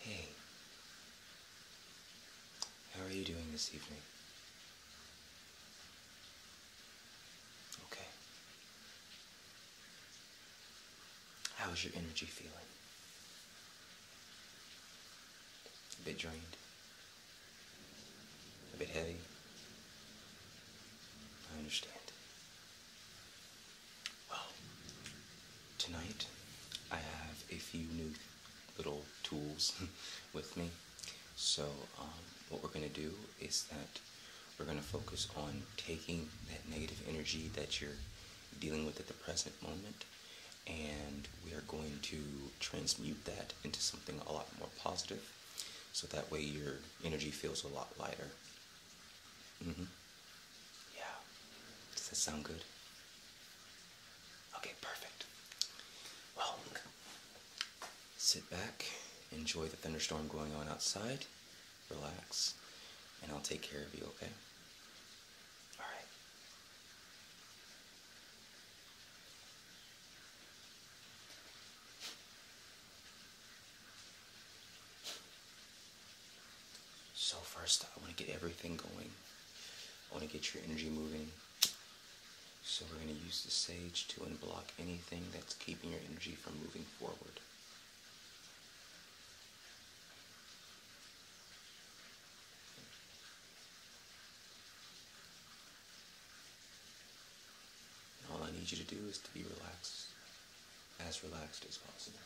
Hey. How are you doing this evening? Okay. How's your energy feeling? A bit drained? A bit heavy? I understand. Well, tonight I have a few new little tools with me. So, um, what we're going to do is that we're going to focus on taking that negative energy that you're dealing with at the present moment and we are going to transmute that into something a lot more positive so that way your energy feels a lot lighter. Mm-hmm. Yeah. Does that sound good? Okay, perfect. Well, sit back, enjoy the thunderstorm going on outside, relax, and I'll take care of you, okay? All right. So first, I want to get everything going. I want to get your energy moving. So we're going to use the sage to unblock anything that's keeping your energy from moving forward. all I need you to do is to be relaxed as relaxed as possible.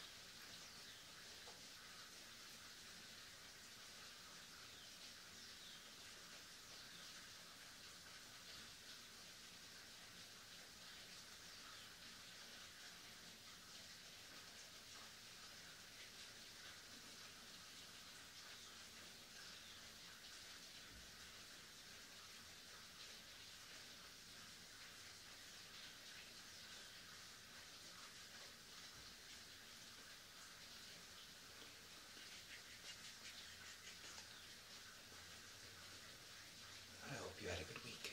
I hope you had a good week.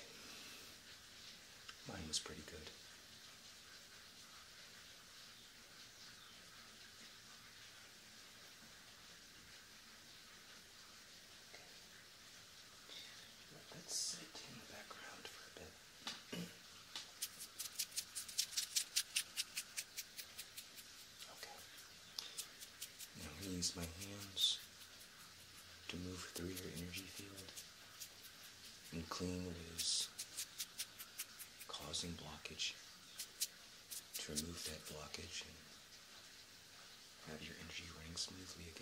Mine was pretty good. Let that sit in the background for a bit. okay. I'm going to use my hands to move through your energy field and clean what is causing blockage, to remove that blockage have your energy running smoothly again.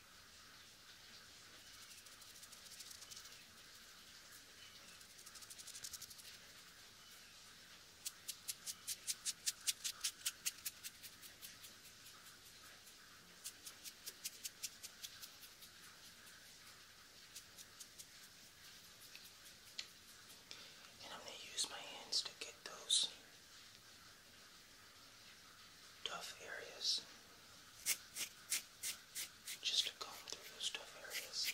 And I'm going to use my hands to get those tough areas. Just to comb through those tough areas.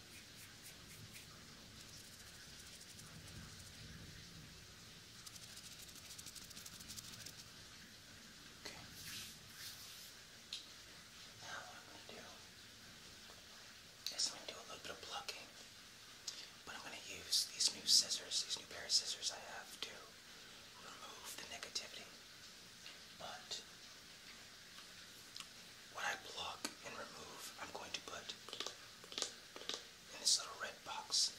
Okay. Now I'm gonna do is I'm gonna do a little bit of plucking, but I'm gonna use these new scissors, these new pair of scissors I have to remove the negativity. But when I plug and remove, I'm going to put in this little red box.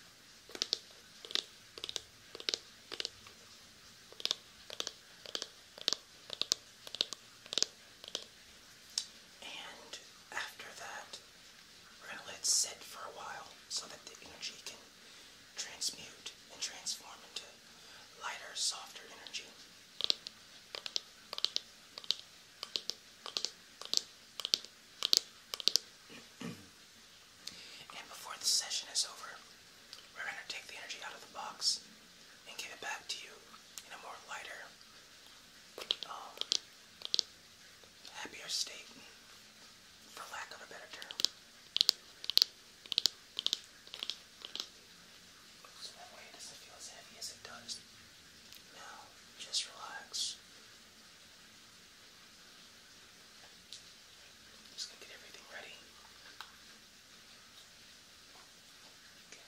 And after that, we're going to let it sit for a while so that the energy can transmute and transform into lighter, softer energy and before the session is over, we're going to take the energy out of the box and give it back to you in a more lighter, um, happier state, for lack of a better term. So that way it doesn't feel as heavy as it does. Now, just relax. I'm just gonna get everything ready. Okay. Okay.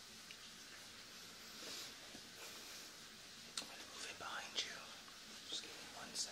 I'm going to move it behind you. Just give me one sec.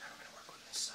Now we're going to work on this side.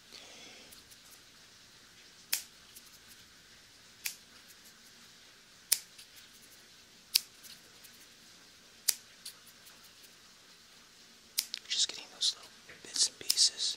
Just getting those little bits and pieces.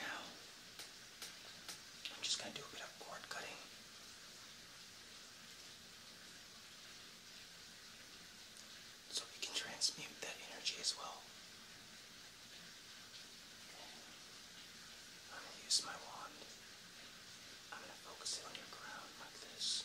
Now, I'm just going to do a bit of cord cutting. So we can transmute that energy as well. I'm going to use my wand. I'm going to focus it on your crown like this.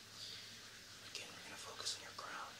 Again, we're going to focus on your crown. Good.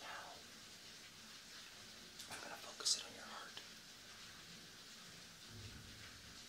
Now, I'm going to focus it on your heart.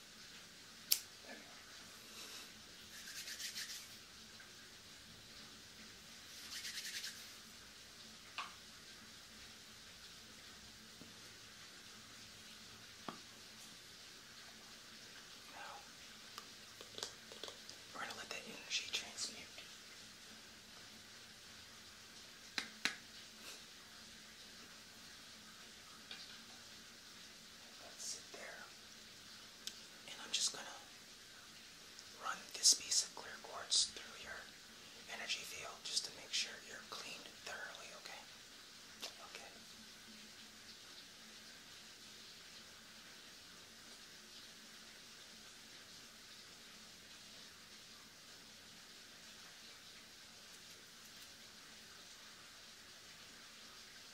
Anyway. Now, we're going to let that energy transmute. That's it there. And I'm just gonna run this piece of clear quartz through your energy field just to make sure you're cleaned thoroughly, Okay. Okay.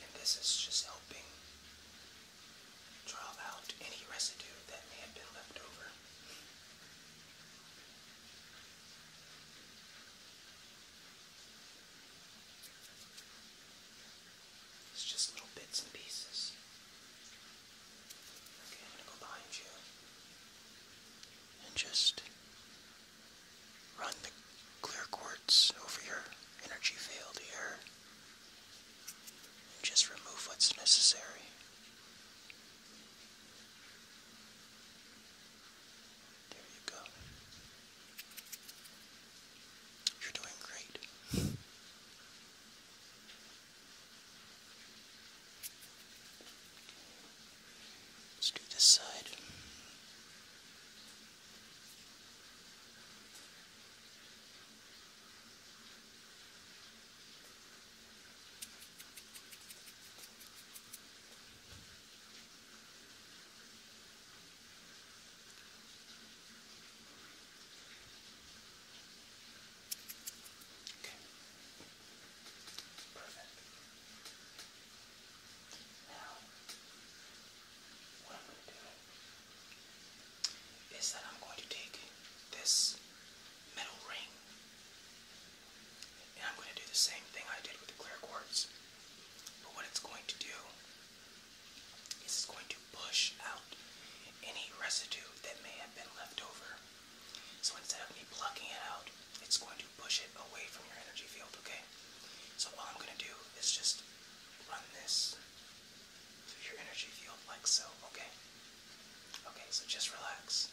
And this is just helping draw out any residue that may have been left over. It's just little bits and pieces. Okay, I'm gonna go behind you and just run the clear quartz over your energy field here just remove what's necessary. There you go. You're doing great. Let's do this side. Okay. Perfect. Now, what I'm going to do is that I'm going to take this metal ring and I'm going to do the same thing I did with the clear quartz. But what it's going to do is going to push out any residue that may have been left over. So instead of me plucking it out, it's going to push it away from your energy field, okay? So all I'm going to do is just run this through your energy field like so, okay? Okay, so just relax.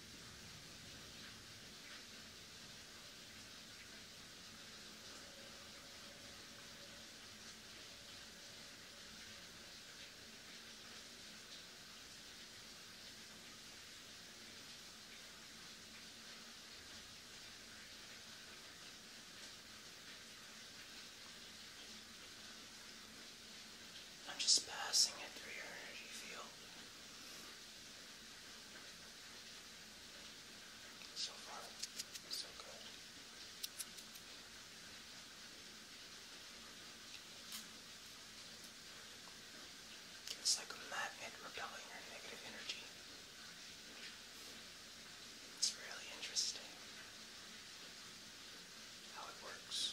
I'm just passing it through your energy field. So far, so good. It's like a magnet repelling your negative energy. It's really interesting how it works.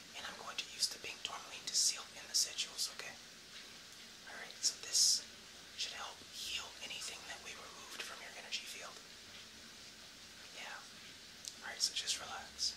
and I'm going to use the pink tourmaline to seal in the sigils, okay? Alright, so this should help heal anything that we removed from your energy field. Yeah. Alright, so just relax.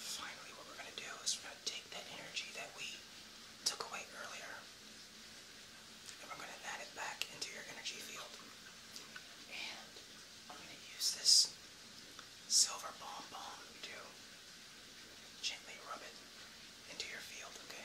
Finally, what we're going to do is we're going to take that energy that we took away earlier and we're going to add it back into your energy field. And I'm going to use this silver bomb bomb to gently rub it into your field, okay?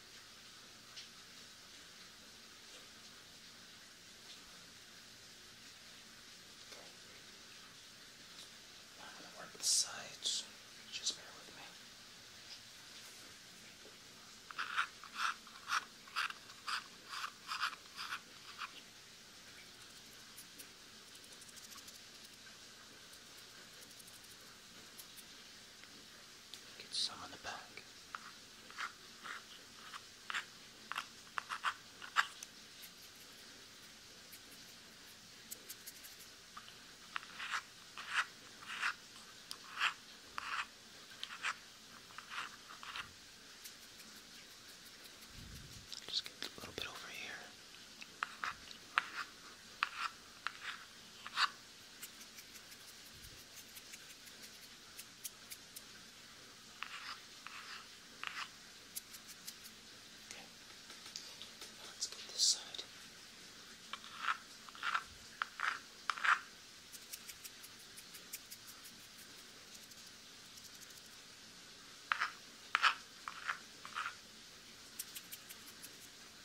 I'm going to work the sides, just bear with me. All Get some on the back. Just get a little bit over here. Okay. Now let's get this side. Okay.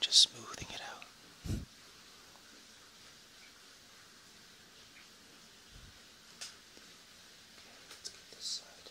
Just smoothing it out. let's get this side.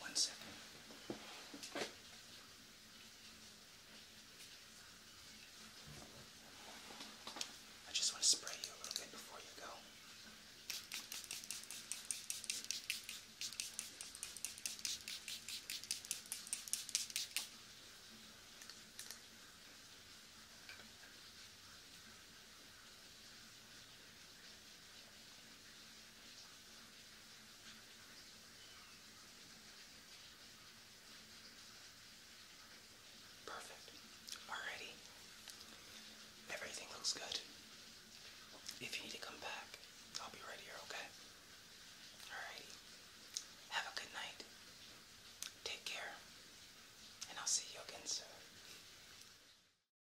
One second. I just want to spray you a little bit before you go. Perfect. Alrighty. Everything looks good. If you need to come back, I'll be right here, okay? Alrighty. Have a good night. Take care. And I'll see you again soon.